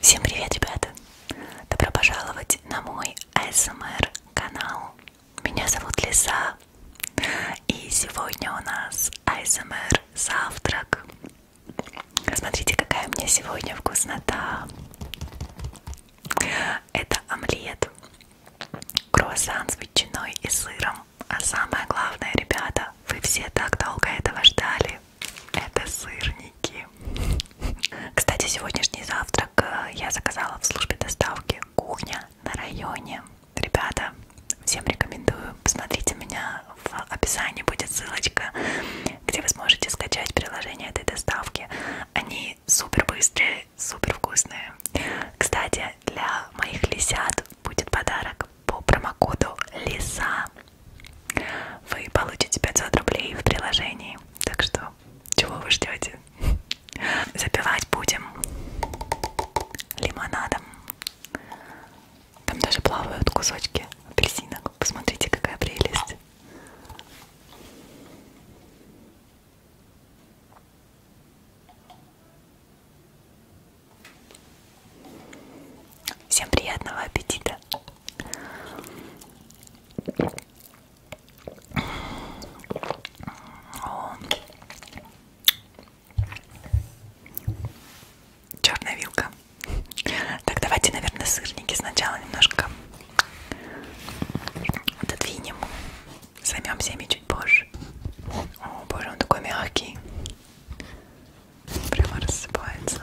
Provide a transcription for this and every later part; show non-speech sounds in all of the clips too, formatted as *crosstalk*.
Всем привет, ребята! Добро пожаловать на мой ASMR канал. Меня зовут Лиса, и сегодня у нас ASMR завтрак. Смотрите, какая у меня сегодня вкуснота. Это омлет, круассан с ветчиной и сыром. А самое главное, ребята, вы все так долго этого ждали. Это сырники. Кстати, сегодняшний завтрак э, я заказала в службе доставки «Кухня на районе». Ребята, всем рекомендую. Посмотрите меня, в описании будет ссылочка, где вы сможете скачать приложение этой доставки. Они супер быстрые, супер вкусные. Кстати, для моих лисят будет подарок по промокоду ЛИСА вы получите 500 рублей в приложении. Так что, чего вы ждете? *laughs* Запивать будем лимонадом. Там даже плавают кусочки апельсинок. Посмотрите, какая прелесть. Всем приятного аппетита! Черная вилка. Так, давайте, наверное, сырники сначала немножко отодвинем. Займемся ими чуть позже. О, боже, он такой мягкий. Прямо рассыпается.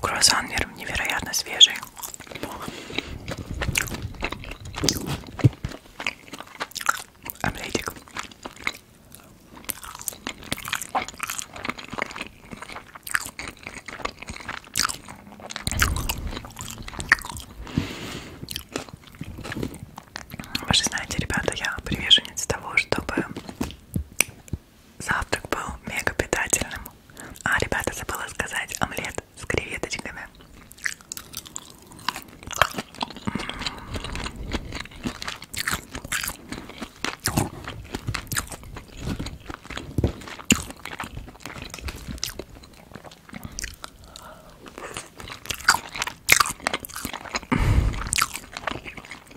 Круассан невероятно свежий. Омлетик. Вы же знаете, ребята, я приверженец того, чтобы Завтрак был мега питательным. А, ребята, забыла сказать, омлет с креветочками.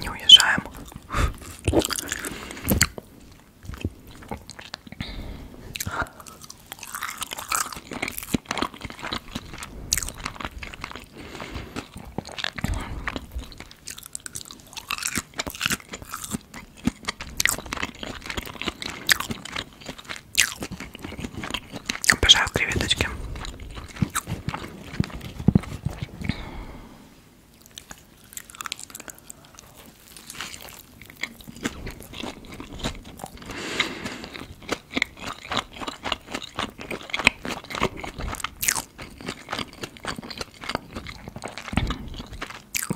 Не уезжаем. Обожаю креветочки.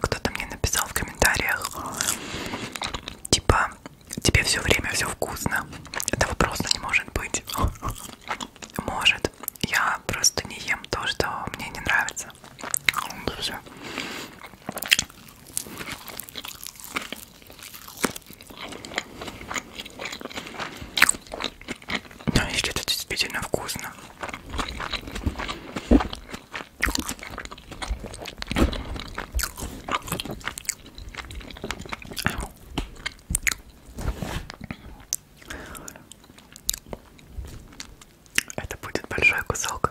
Кто-то мне написал в комментариях, типа, тебе все время все вкусно. Этого просто не может быть. *laughs* Может. Я просто не ем то, что мне не нравится. Но если это действительно вкусно. Это будет большой кусок.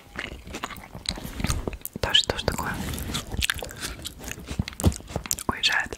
Тоже тоже такое уезжает.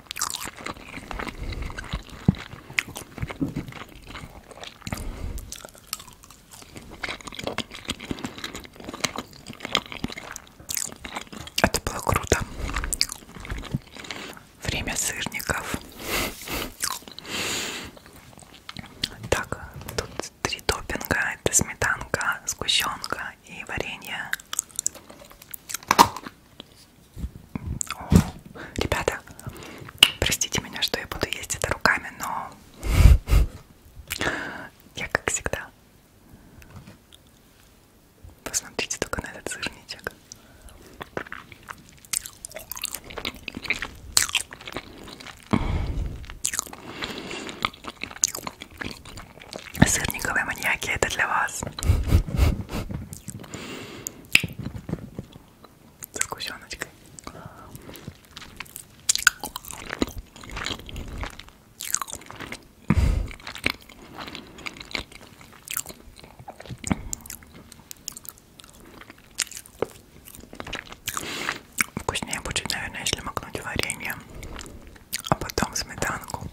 Это было круто. Время сырников. Так, тут три топинга. Это сметанка, сгущенка и варенье. О, ребята, простите меня, что я буду есть это руками, но я как всегда. Посмотрите только на этот сырничек. Сырниковые маньяки это для вас. Со сгущеночкой. Вкуснее будет, наверное, если макнуть варенье, а потом сметанку.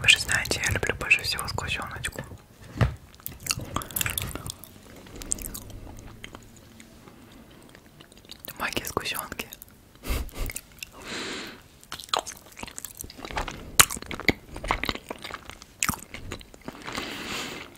Вы же знаете, я люблю больше всего сгущеночку. Магия сгущенки.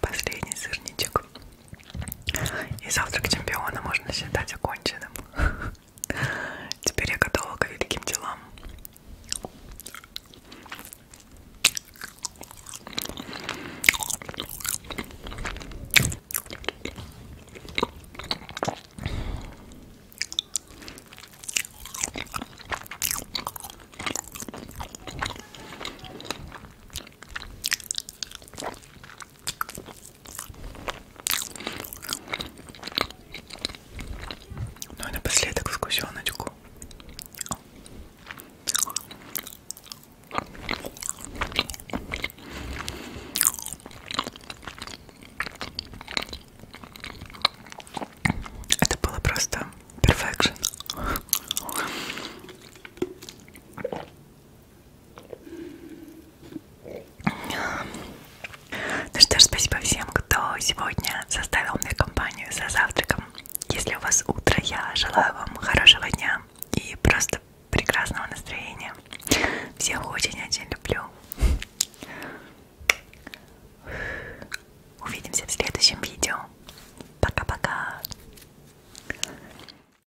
Последний сырничек. И завтрак чемпиона можно считать оконченным. *laughs* Теперь я готова к великим делам. Ну и напоследок вкусеночку. Это было просто perfection. Ну что ж, спасибо всем, кто сегодня составил мне компанию за завтраком. Если у вас утро, я желаю вам хорошего дня и просто прекрасного настроения. Всех очень-очень люблю. Увидимся в следующем видео. Пока-пока.